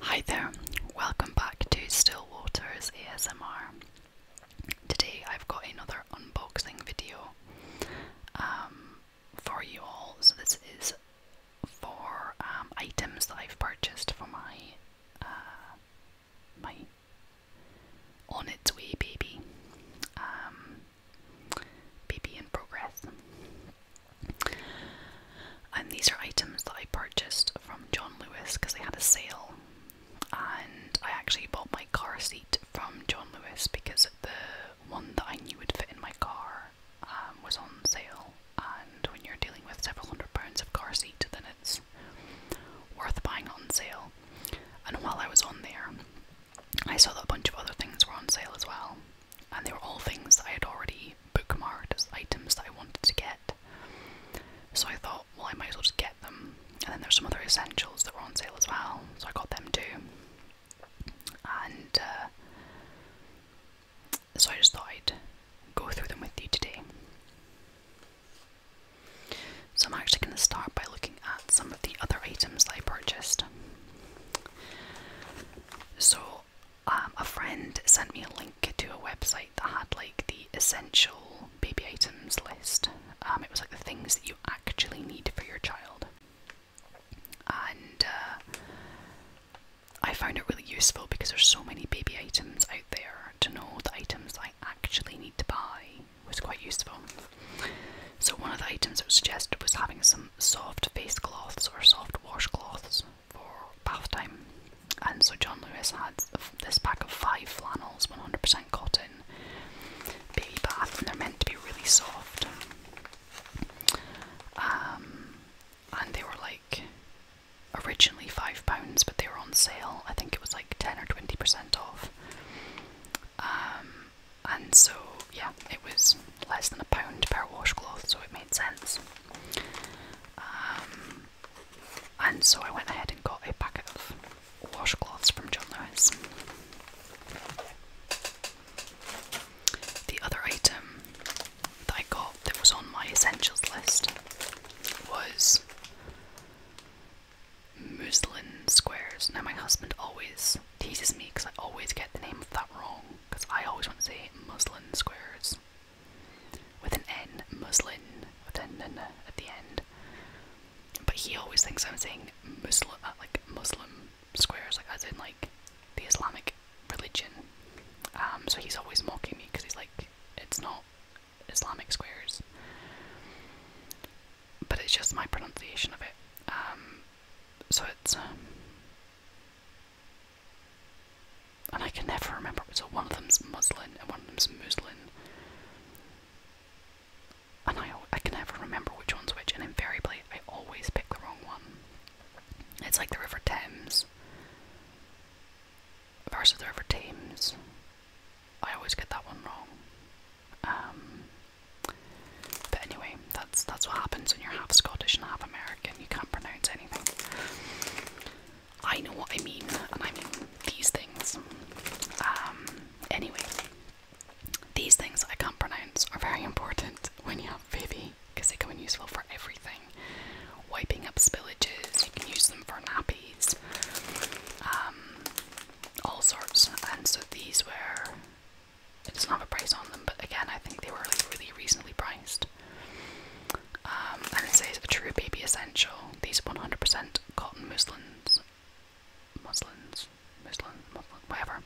Hi there, welcome back to Still Waters ASMR. Today I've got another unboxing video um, for you all. So, this is for um, items that I've purchased for my, uh, my On Its Way baby, um, baby in progress. And these are items that I purchased from John Lewis because they had a sale. And I actually bought my car seat from John Lewis because the one that I knew would fit in my car um, was on sale. And when you're dealing with several hundred pounds of car seat, then it's worth buying on sale. And while I was on there, I saw that a bunch of other things were on sale as well and they were all things that I had already bookmarked as items that I wanted to get. So I thought, well, I might as well just get them. And then there's some other essentials that were on sale as well, so I got them too. And uh, so I just thought I'd go through them with you today. So I'm actually going to start by looking at some of the other items that I purchased. So um, a friend sent me a link to a website that had like the essential baby items list. Um, it was like the things that you actually need for your child, and uh, I found it really useful because there's so many baby items out there. To know the items I actually need to buy was quite useful. So one of the items that was suggested was having some soft face cloths or soft washcloths for bath time. And so John Lewis had this pack of five flannels, 100% cotton, baby bath, and they're meant to be really soft. Um, and they were like originally five pounds, but they were on sale. I think it was like 10 or 20% off. Um, and so, yeah, it was less than a pound per washcloth, so it made sense. Um, and so I went ahead and got a packet of washcloths from John Lewis. The other item that I got that was on my essentials list was muslin squares. Now, my husband always teases me because I always get the name of that wrong because I always want to say muslin squares with an N, Muslim with an N at the end. But he always thinks I'm saying Muslim, uh, like Muslim squares, like as in like the Islamic religion. Um, so he's always mocking me because he's like, it's not Islamic squares. But it's just my pronunciation of it. Um, so it's um, and I can never remember. So one of them's muslin and one of them's muslin. And I, I can never remember which one's which, and invariably I always pick the wrong one. It's like the River Thames versus the River Thames. I always get that one wrong. Um, but anyway, that's that's what happens when you're half Scottish and half American. American, you can't pronounce anything. I know what I mean, and I mean these things. Um, anyway, these things I can't pronounce are very important when you have baby because they come in useful for everything. Wiping up spillages, you can use them for nappies, um, all sorts. And so these were, it doesn't have a price on them, but again, I think they were really reasonably priced. Um, and it says a true baby essential. These 100% cotton muslins, muslins, muslin, whatever,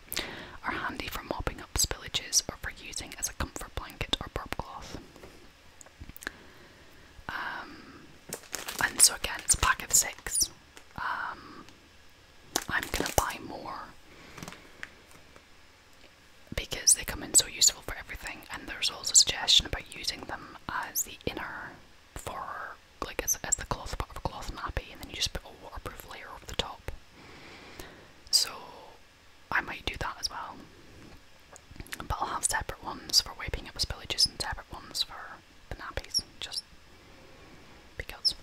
are handy for mopping up spillages or for using as a comfort blanket or burp cloth. Um, and so again, it's a pack of six. Um, I'm gonna buy more because they come in so useful for everything. And there's also a suggestion about using them as the inner for like as, as the cloth part of a cloth nappy, and then you just put a waterproof layer over the top. So I might do that as well. But I'll have separate ones for wiping up spillages and separate ones for the nappies, just because.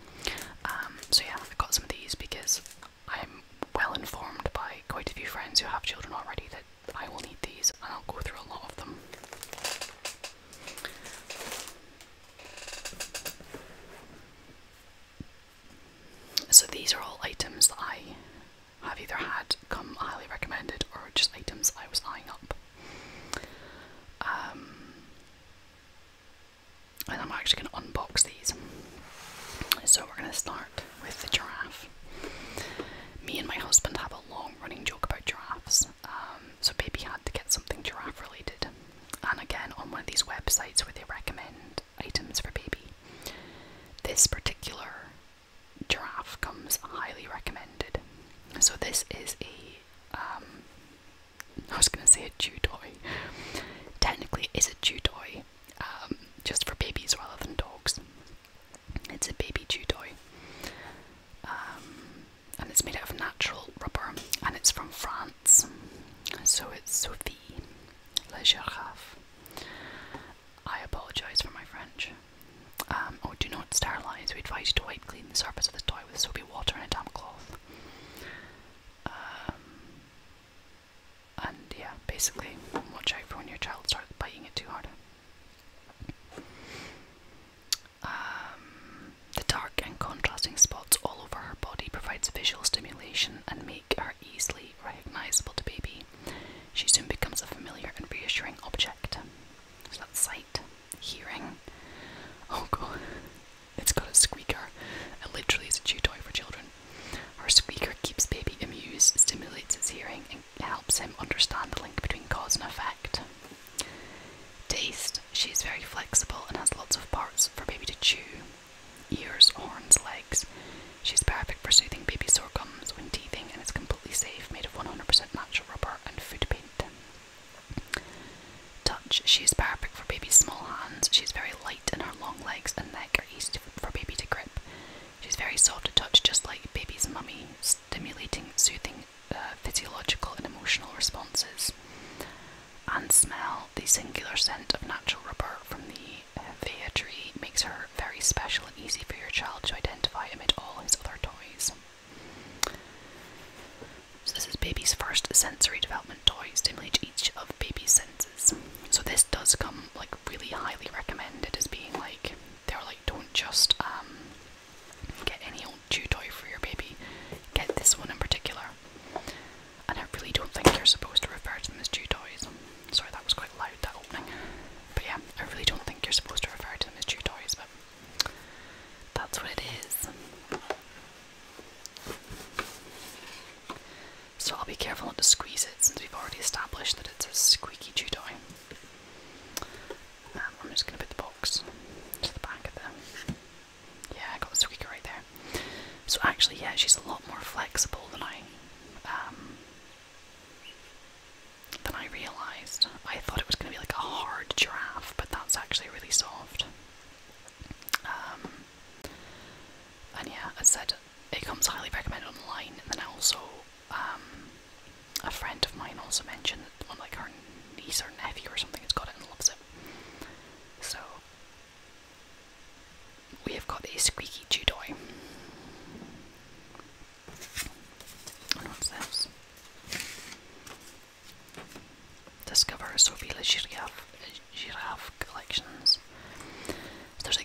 Um, so yeah, I have got some of these because I'm well informed by quite a few friends who have children already that I will need these, and I'll go through a lot of them. So these are all items that I have either had come highly recommended or just items I was eyeing up. Um, and I'm actually going to unbox these. So we're going to start with the giraffe. Me and my husband have a long running joke about giraffes, um, so baby had to get something giraffe related. And again, on one of these websites where they recommend items for baby, this particular giraffe comes highly recommended. So this is a. Um, I was going to say a chew toy. Technically, it's a chew toy, um, just for babies rather than dogs. It's a baby chew toy, um, and it's made out of natural rubber, and it's from France. So it's Sophie La Girafe. I apologise for my French. Um, oh, do not sterilise. We advise you to wipe clean the surface of the toy with soapy water and a damp cloth. And yeah, basically, watch out for when your child starts biting it too hard. Um, the dark and contrasting spots all over her body provides visual stimulation and make her easily recognizable to baby. She soon becomes a familiar and reassuring object. So that's sight, hearing. Oh god, it's got a squeaker. It literally is a chew toy for children. Her squeaker keeps baby amused, stimulates his hearing, and helps him understand the link between cause and effect. Taste. She is very flexible and has lots of parts for baby to chew ears, horns, legs. She's perfect for soothing baby's sore gums when teething and is completely safe, made of 100% natural rubber and food paint. Touch. She is perfect for baby's small hands. She's very light in her long legs and neck easy for baby to grip. She's very soft to touch, just like baby's mummy, stimulating soothing uh, physiological and emotional responses. And smell, the singular scent of natural rubber from the Vea uh, tree makes her very special and easy for your child to identify amid all his other toys. So this is baby's first sensory development toy, stimulate each of baby's senses. So this does come like really highly recommended as being like they're like don't just um get any old chew toy for your baby. Get this one in particular. And I really don't think you're supposed to refer to them as chew toys. Sorry that was quite loud that opening. But yeah, I really don't think you're supposed to refer to them as chew toys, but that's what it is so I'll be careful not to squeeze it since we've already established that it's a squeaky chew toy. Um, I'm just going to put the box to the back of the... Yeah, I got squeaker right there. So actually, yeah, she's a lot more flexible than I... Um, than I realised. I thought it was going to be like a hard giraffe, but that's actually really soft. Um, and yeah, I said it comes highly recommended online. And then also, um, a friend of mine also mentioned that one like her niece or nephew or something has got it and loves it. So we have got a squeaky chew toy. And what's this? Discover Sophie Le Giraffe, Giraffe Collections there's a,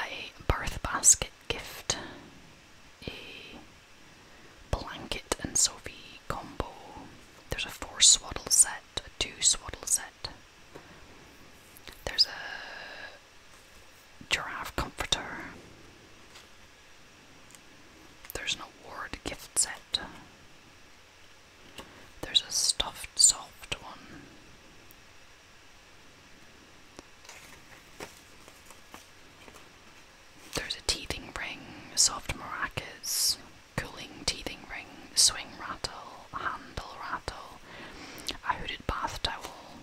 a birth basket gift, a blanket and Sophie combo. There's a four swaddle set, a two swaddle set. There's a giraffe comforter. There's an award gift set. There's a stuffed soft one. There's a teething ring, soft maracas, cooling teething ring, swing rattle, handle rattle, a hooded bath towel,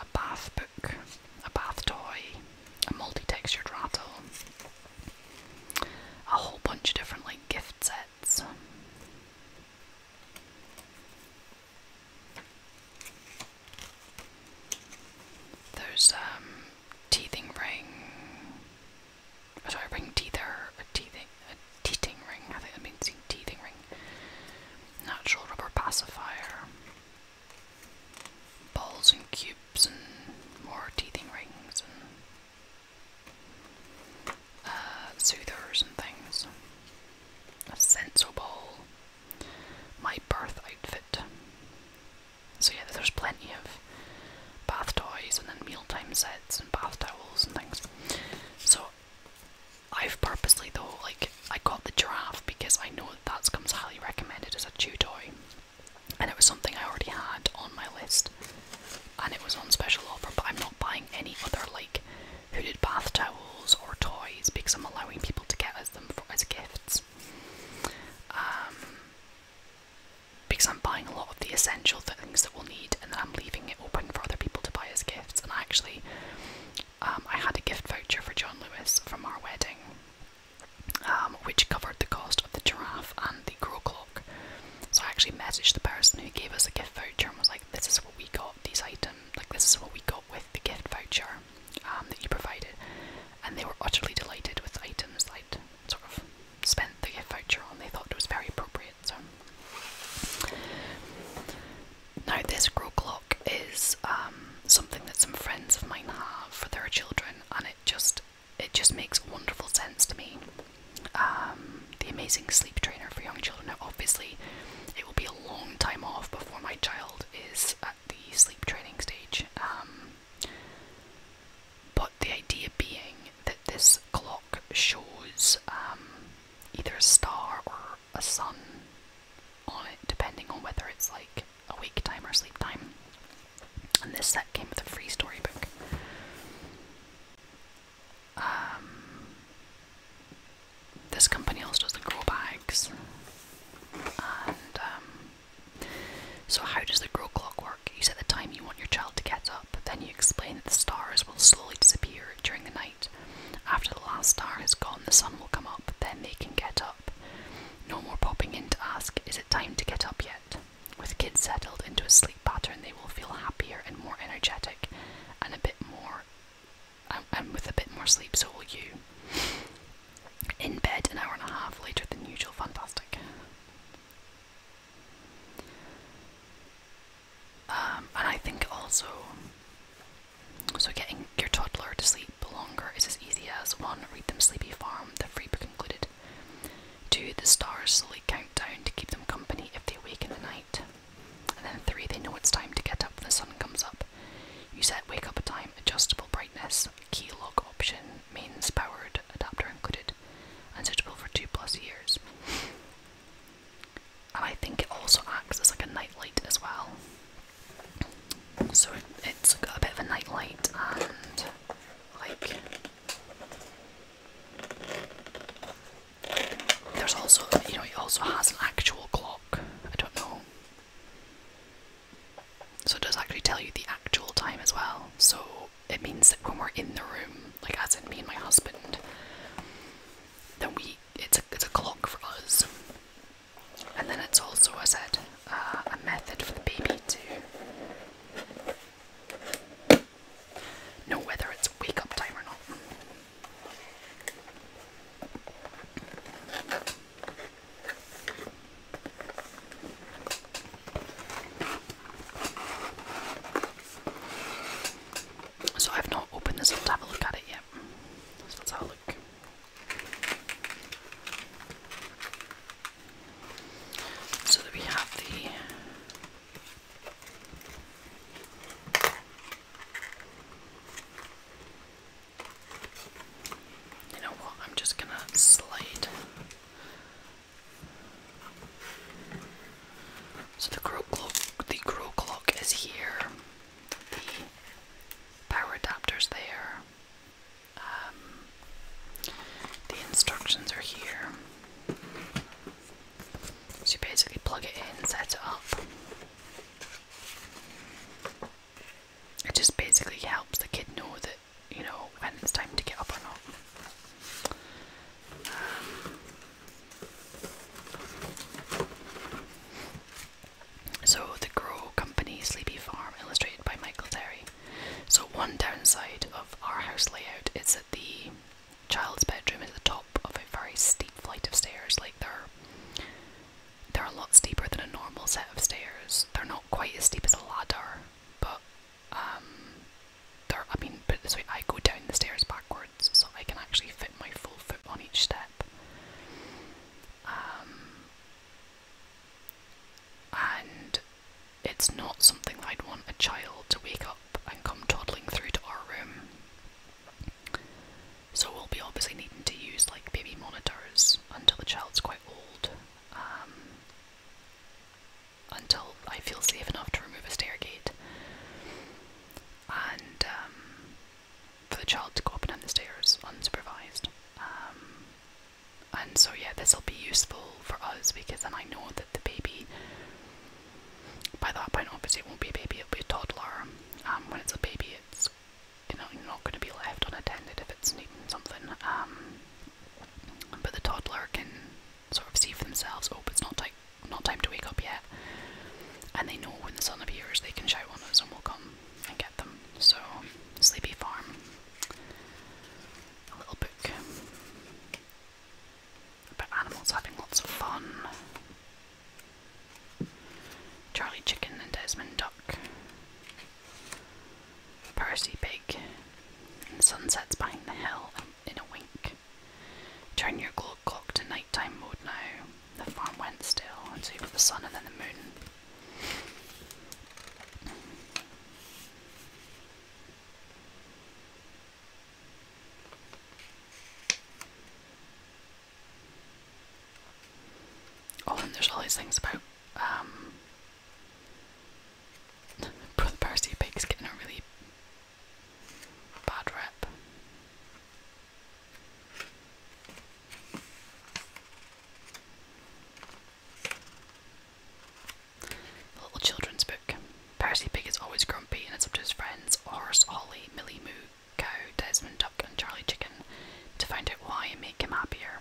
a bath book, a bath toy, a multi-textured rattle, a whole bunch of different like gift sets. There's um teething ring. Oh, sorry, ring teether, a teething, a teething ring. I think that means teething ring. Natural rubber pacifier. Balls and cubes and more teething rings uh, and things. A senso ball. My birth outfit. So yeah, there's plenty of bath toys and then mealtime sets and bath towels and things. So I've purposely though, like I got the giraffe because I know that that comes highly recommended as a chew toy, and it was something I already had on my list and it was on special offer, but I'm not buying any other like hooded bath towels or toys because I'm allowing people to get them for, as gifts. Um, because I'm buying a lot of the essential things that we'll need, and I'm leaving it open for other people to buy as gifts. And I actually, um, I had a gift voucher for John Lewis from our wedding, um, which covered the cost of the giraffe and the grow clock. So I actually messaged the person who gave us a gift voucher and was like, this is what we got these items like this is what we got with the gift voucher um, that you provided and they were utterly delighted with the items i sort of spent the gift voucher on they thought it was very appropriate so now this grow clock is um, something that some friends of mine have for their children and it just it just makes wonderful sense to me um, the amazing sleep trainer for young children. Now, obviously, it will be a long time off before my child is at the sleep training stage. Um, but the idea being that this clock shows um, either a star or a sun on it, depending on whether it's like awake time or sleep time. And this set came with a free storybook. Um, this company also does the grow bags, um, so how does the grow clock work? You set the time you want your child to get up, then you explain that the stars will slowly disappear during the night. After the last star has gone, the sun will come up, then they can get up. No more popping in to ask, is it time to get up yet? With kids settled into a sleep pattern, they will feel happier and more energetic, and a bit more, um, and, with a bit more sleep, so will you. In bed, an hour and a half later than usual, fantastic. Um, and I think also, so getting your toddler to sleep longer is as easy as one, read them Sleepy Farm, the free book Two, the stars slowly count down to keep them company if they wake in the night. And then three, they know it's time to get up when the sun comes up. You set wake up a time, adjustable brightness, key lock option, mains powered, adapter included, and suitable for two plus years. And I think it also acts as like a night light as well. So it's got a bit of a night light and like there's also, you know, it also has an actual clock. I don't know. So it does actually tell you the actual time as well. So it means that when we're in the room, like as in me and my husband, then we it's a it's a clock for us. And then it's also, I said, uh, a method for the baby too. No, whether it's wake up time or not. So I've not opened this up to have a look at it yet. So let's have a look. So we have the you know what? I'm just gonna slide. So the grow clock, the grow clock is here. The power adapter's there. Um, the instructions are here. So basically plug it in, and set it up. It just basically helps the kid know that, you know, when it's time to get up or not. so, The Grow Company Sleepy Farm, illustrated by Michael Terry. So, one downside of our house layout is that the child's bedroom is the top of a very steep flight of stairs. Like they're they're a lot steeper than a normal set of stairs. They're not quite as steep as a ladder, but um, they're. I mean, but this way, I go down the stairs backwards, so I can actually fit my full foot on each step. Um, and it's not something I'd want a child to wake up and come toddling through to our room. So we'll be obviously needing to use like baby monitors until the child's quite old, um, until I feel safe enough to remove a stair gate, and um, for the child to go up and down the stairs unsupervised. Um, and so yeah, this will be useful for us because then I know that the baby by that point, obviously, it won't be a baby, it'll be a toddler. Um, when it's a baby, it's you know, not going to be left unattended if it's needing something. Um, but the toddler can sort of see for themselves, oh, it's not, not time to wake up yet. And they know when the sun appears, they can shout on us and we'll come and get them. So, Sleepy Farm. A little book. About animals having lots of fun. Charlie Chicken and Desmond Duck. Percy Pig. And the sun sets behind the hill in a wink. Turn your clock to nighttime mode now. The farm went still, until so you've the sun and then the moon. Oh, and there's all these things about um, Brother Pig's getting a really bad rep. The little children's book. Percy Pig is always grumpy and it's up to his friends, Horse, Ollie, Millie Moo, Cow, Desmond Duck and Charlie Chicken to find out why and make him happier.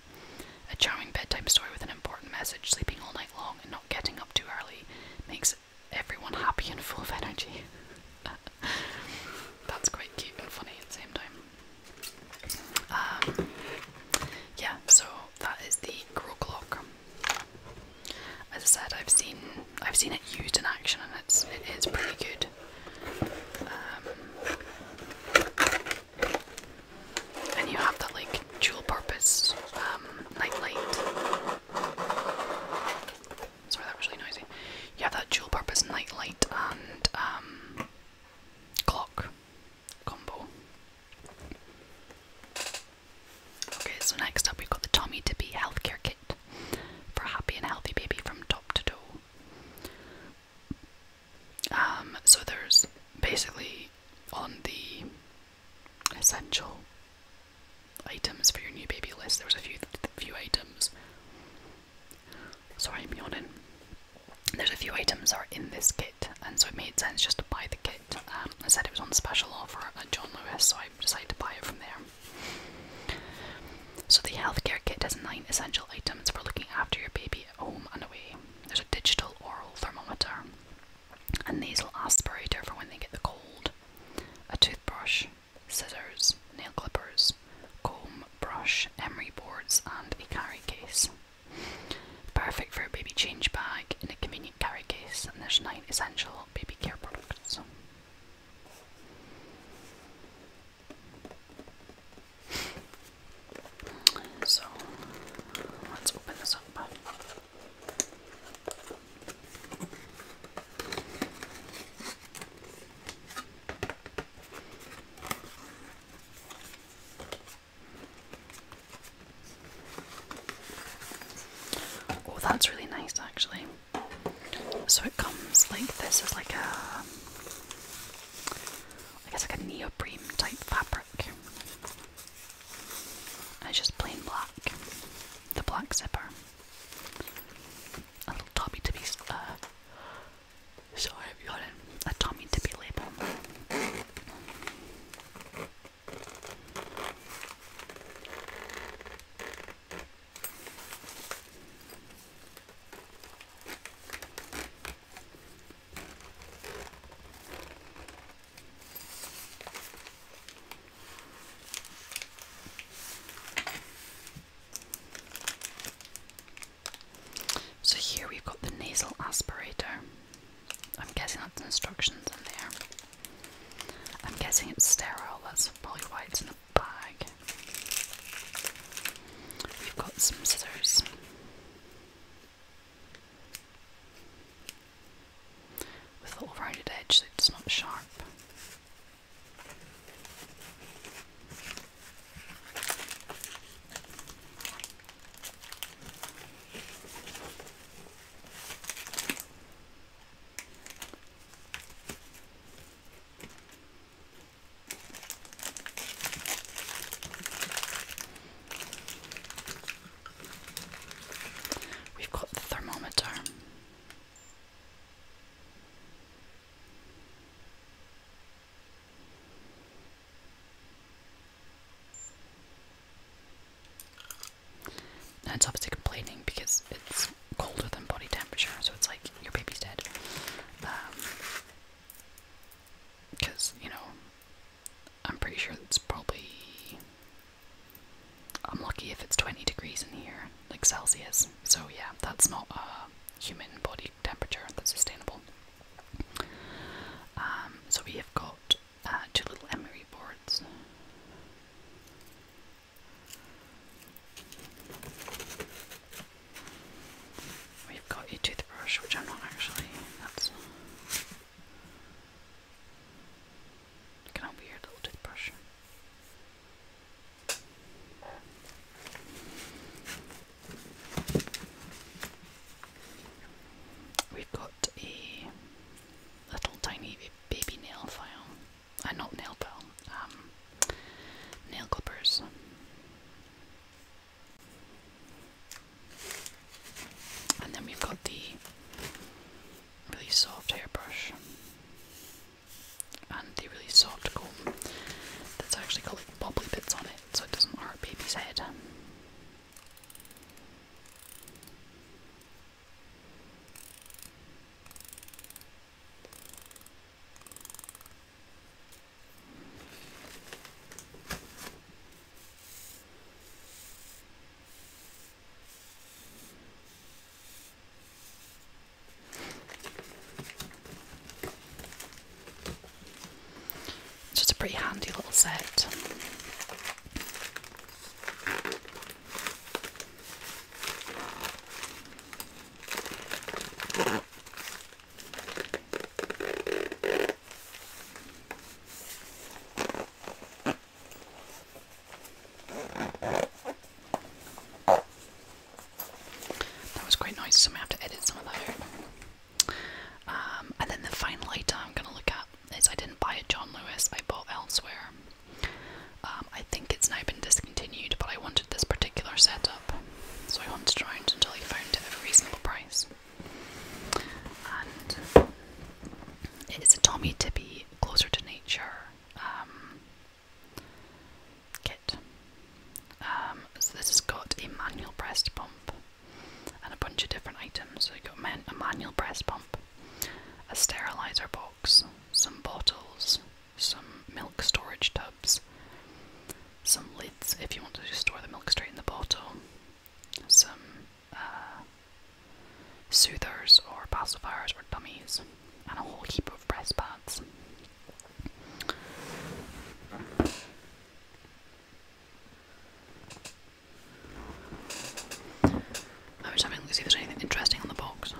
A charming bedtime story with an important message, sleeping all night long and not getting up too early makes everyone happy and full of energy. That's quite cute and funny at the same time. Um, yeah, so that is the Grow Clock. As I said, I've seen I've seen it used in action, and it's it is pretty good. Um, and you have that like dual purpose um, Sorry, that was really noisy. You have that dual purpose night and um, clock combo. Okay, so next up we've got the Tommy Tippy Healthcare Kit for a happy and healthy baby from top to toe. Um, so there's basically on the essential items for your new baby list, there's a few few items. Sorry, I'm yawning. There's a few items that are in this kit, and so it made sense just to buy the kit. Um, I said it was on special offer at John Lewis, so I decided to buy it from there. So the healthcare kit has nine essential items for looking after your baby at home and away. There's a digital oral thermometer, a nasal aspirator for when they get the cold, a toothbrush, scissors, nail clippers, comb, brush, emery boards, and a carry case. Perfect for a baby change bag in a convenient carry case, and there's nine essential baby care products. So let's open this up. Oh, that's really nice actually. So it comes like this is like a I guess like a neoprene type fabric. And it's just plain black. The black zipper. A little Tommy Tippy uh, sorry got a Tommy Tippy label. So here we've got the nasal aspirator. I'm guessing that's instructions in there. I'm guessing it's sterile, that's probably why it's in a bag. We've got some scissors. With a little rounded edge so it's not sharp. We've got the thermometer. Now it's obviously complaining because it's colder than body temperature, so it's like your baby's dead. Because, um, you know, I'm pretty sure it's probably. I'm lucky if it's 20 degrees in here, like Celsius. So, yeah, that's not a human body temperature that's sustainable. Um, so, we have got Ah, two little emery boards. We've got a toothbrush, which I'm not actually. That's kind of weird little toothbrush. We've got a little tiny baby nail file. and uh, not nail file, um, nail clippers. And then we've got the really soft hairbrush and the really soft comb that's actually got like bobbly bits on it so it doesn't hurt baby's head. So it's a pretty handy little set. That was quite nice, so I may have to edit some of that out. Um, and then the final item I'm going to look at is I didn't buy it John Lewis, I bought elsewhere. Um, I think it's now been discontinued, but I wanted this particular setup, so I hunted around until I found it at a reasonable price. And it is a Tommy Tibby Closer to Nature um, kit. Um, so this has got a manual breast pump and a bunch of different items. So you've got a manual breast pump, a sterilizer box, some bottles, some milk storage tubs, some lids if you want to store the milk straight in the bottle, some uh, soothers or pacifiers or dummies, and a whole heap of breast pads. I was having to see if there's anything interesting on the box.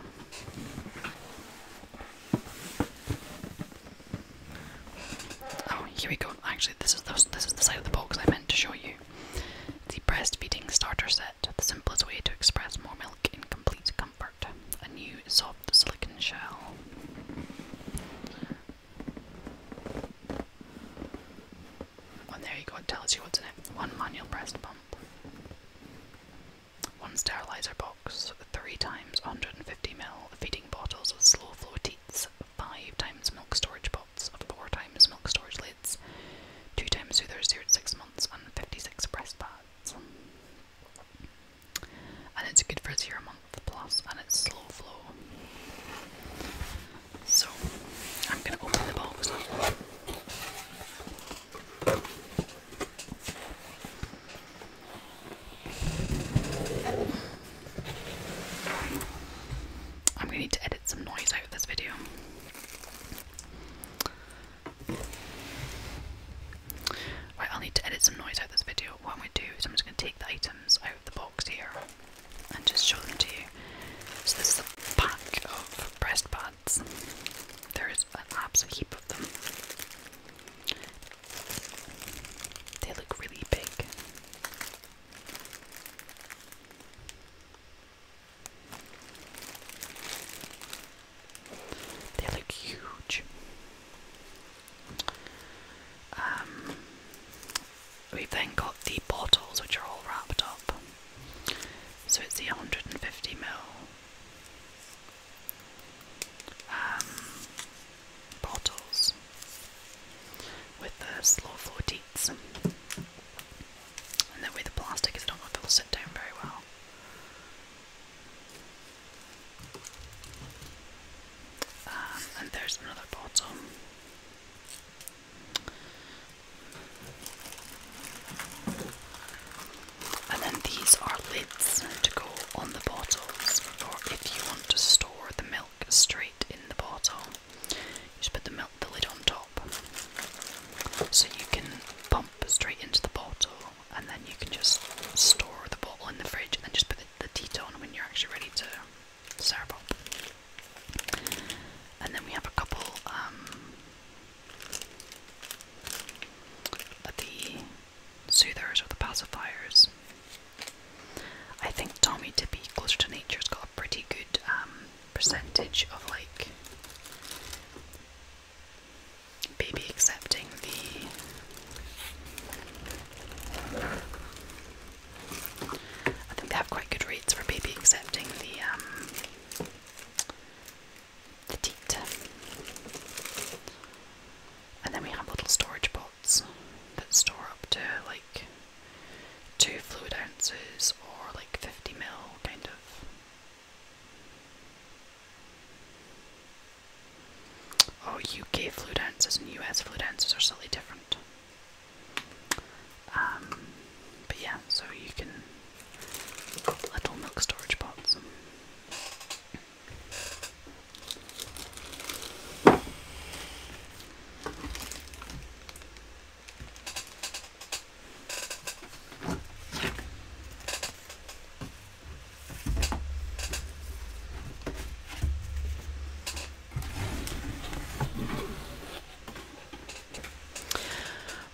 Oh, here we go. Actually, this is the, this is the side of the box I meant to show you. The breastfeeding starter set, the simplest way to express more milk in complete comfort. A new soft silicone shell. Well, there you go, it tells you what's in it. One manual breast pump. One sterilizer box, three times 150 ml feeding bottles with slow flow teats, five times milk storage pots, four times milk storage lids, two times soothers zero to six months, and 56 breast pads. And it's good for zero month plus, and it's slow flow. So I'm going to open the box I'm going to edit some noise out of this video. Right, I'll need to edit some noise out of this video. What I'm going to do is I'm just going to take the items out of the box here and just show them to you. So this is a pack of breast buds. There is an absolute heap of them. They look really big. They look huge. Um, We've then got the bottles, which are all wrapped up. So it's the 150 ml um, bottles with the slow flow teats. And that way the plastic is, not know if it'll sit down very well. Um, and there's another bottle. And then these are lids to go on the bottles for if you want to store the milk straight in the bottle. You just put the milk the lid on top. So you can pump straight into the bottle and then you can just store the bottle in the fridge and then just put the, the on when you're actually ready to Cerebral. And then we have a couple um, of the soothers or the pacifiers. I think Tommy to be closer to nature's got a pretty good um, percentage of like baby accepting the I think they have quite good reads for baby excepting the um, the teat. And then we have little storage pots that store up to like two fluid ounces or like 50 mil kind of. Oh, UK fluid ounces and US fluid ounces are slightly different. Um, but yeah, so you can little milk storage pots.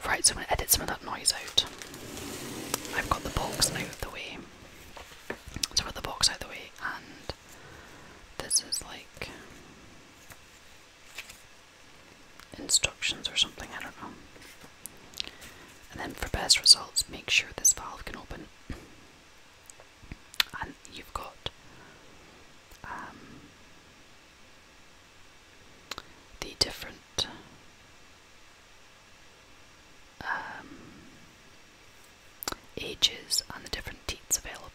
Right, so I'm going to edit some of that noise out. I've got the box out of the way. So i the box out of the way, and this is like instructions or something, I don't know. And then for best results, make sure this valve can open. And you've got um, the different um, ages and the different teats available.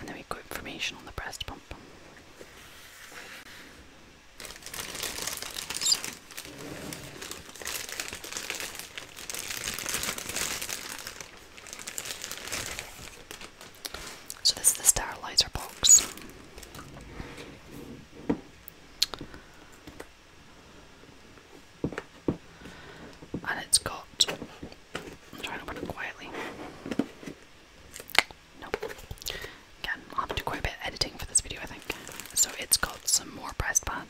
And then we got information on the breast pump. So this is the sterilizer box. And it's got I'm trying to open it quietly. Again, I'll have to do quite a bit editing for this video I think. So it's got some more breast bands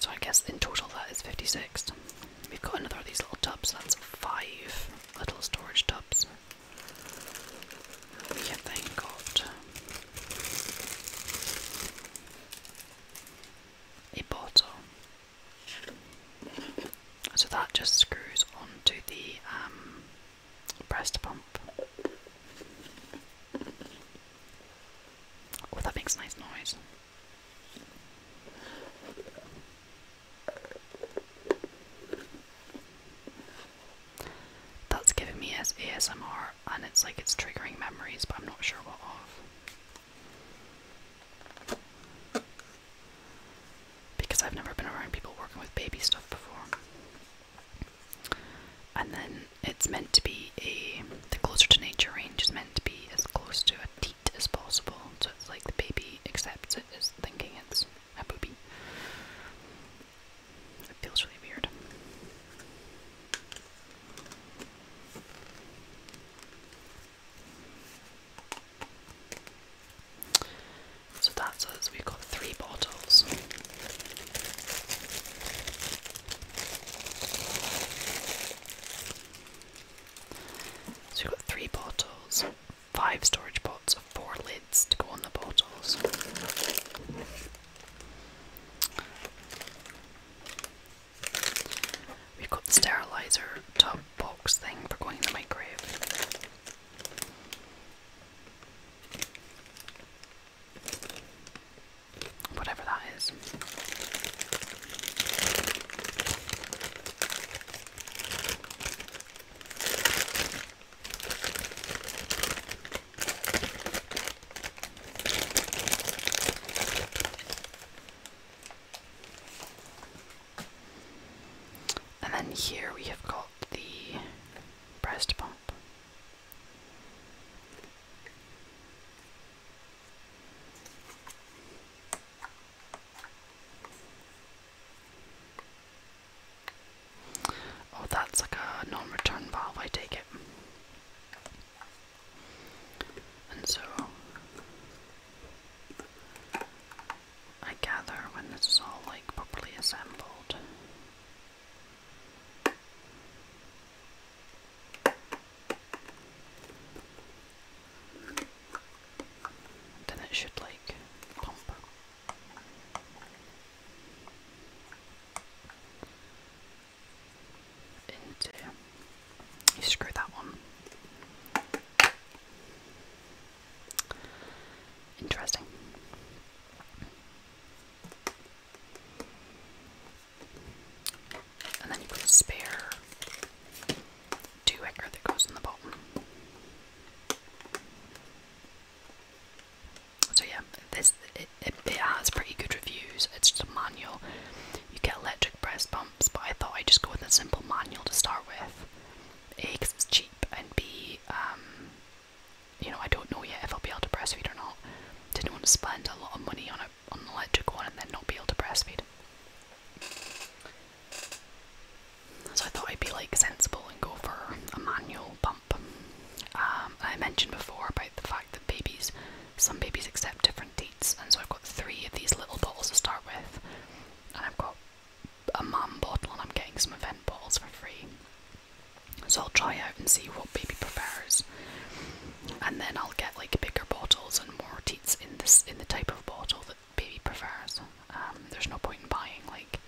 so I guess in total that is 56. We've got another of these little tubs, that's five little storage tubs. We have got a bottle. So that just screws onto the breast um, pump. Oh, that makes nice noise. That's giving me as ASMR, and it's like it's triggering memories, but I'm not sure what of. Because I've never been around people working with baby stuff before. And then it's meant to be a the closer to nature range is meant to be as close to a teat as possible. So it's like the baby accepts it as thinking it's a boobie. It feels really weird. So that's us. We've got three bottles. So we've got three bottles, five storage pots, four lids to go on the bottles. We've got the sterilizer top box thing for going in the microwave. Whatever that is. And then here we have got the breast pump. Oh, that's like a non return valve, I take it. And so I gather when this is all like properly assembled, then it should like pump. Into you screw that one. Interesting. And then you put a spare two acre that goes in the bottom. So yeah, this it, has pretty good reviews. It's just a manual. You get electric breast pumps, but I thought I'd just go with a simple manual to start with. A, because it's cheap, and B, um, you know, I don't know yet if I'll be able to breastfeed or not. Didn't want to spend a lot of money on a on an electric one and then not be able to breastfeed. So I thought I'd be like sensible and go for a manual pump. Um, I mentioned before about the fact that babies, some babies accept different dates, and so I've got three of these little bottles to start with, and I've got a mum bottle, and I'm getting some event bottles for free. So I'll try out and see what baby prefers, and then I'll get like bigger bottles and more teats in this in the type of bottle that baby prefers. Um, there's no point in buying like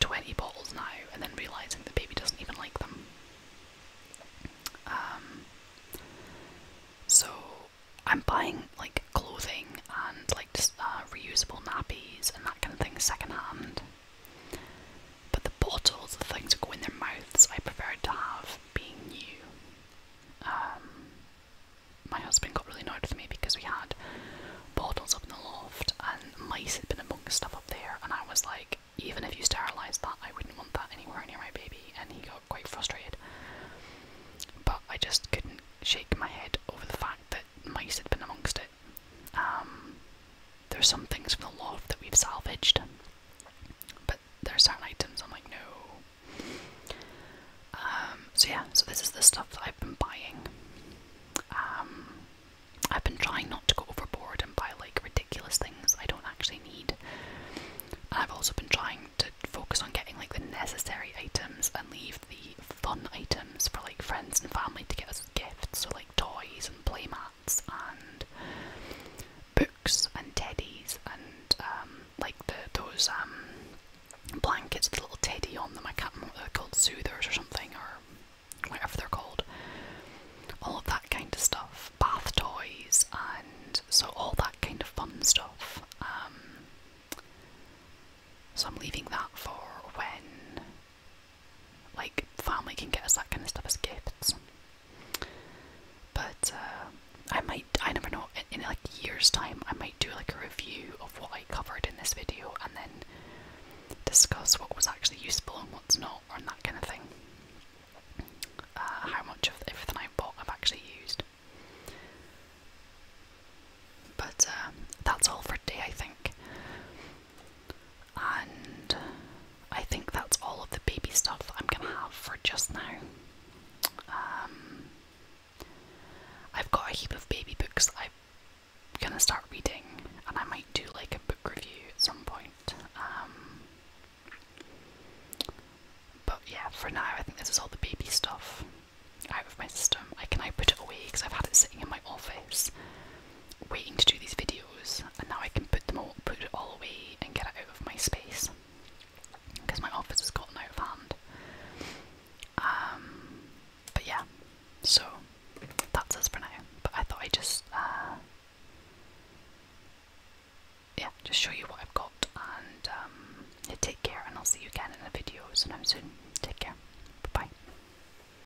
20 bottles now and then realizing that baby doesn't even like them. Um, so I'm buying like clothing and like uh, reusable nappies and that kind of thing secondhand but the bottles, the things that go in their mouths, I preferred to have being new. Um, my husband got really annoyed with me because we had bottles up in the loft and mice had been amongst stuff up there, and I was like, even if you sterilised that, I wouldn't want that anywhere near my baby, and he got quite frustrated. But I just couldn't shake my head over the fact that mice had been amongst it um, there's some things from the loft that we've salvaged, but there's certain items I'm like, no. Um, so yeah, so this is the stuff that I've been buying. Um, I've been trying not to go overboard and buy like ridiculous things I don't actually need. I've also been trying to focus on getting like the necessary items and leave the fun items for like friends and family to get gifts, so like toys and playmats and books and teddies and um, like those um, blankets with a little teddy on them. I can't remember what they're called, soothers or something or whatever they're called. All of that kind of stuff, bath toys and so all that kind of fun stuff. Um, so I'm leaving that for when like family can get us that kind of stuff as gifts. But uh, I might, I never know, in, like years time I might do like a review of what I covered in this video and then discuss what was actually useful and what's not and that kind of thing. Uh, how much of everything I bought I've actually used. But um, that's all for today I think and I think that's all of the baby stuff I'm gonna have for just now. Um, I've got a heap of baby books I'm gonna start reading, and I might do like a book review at some point. Um, but yeah, for now, I think this is all the baby stuff out of my system. I can now put it away because I've had it sitting in my office waiting to do these videos, and now I can put them all, put it all away, and get it out of my space because my office has gotten out of hand. Um, but yeah, so that's us for now. But I thought i just, uh, yeah, just show you what I've got, and um, yeah, take care, and I'll see you again in the videos, and I'm soon. Take care, bye.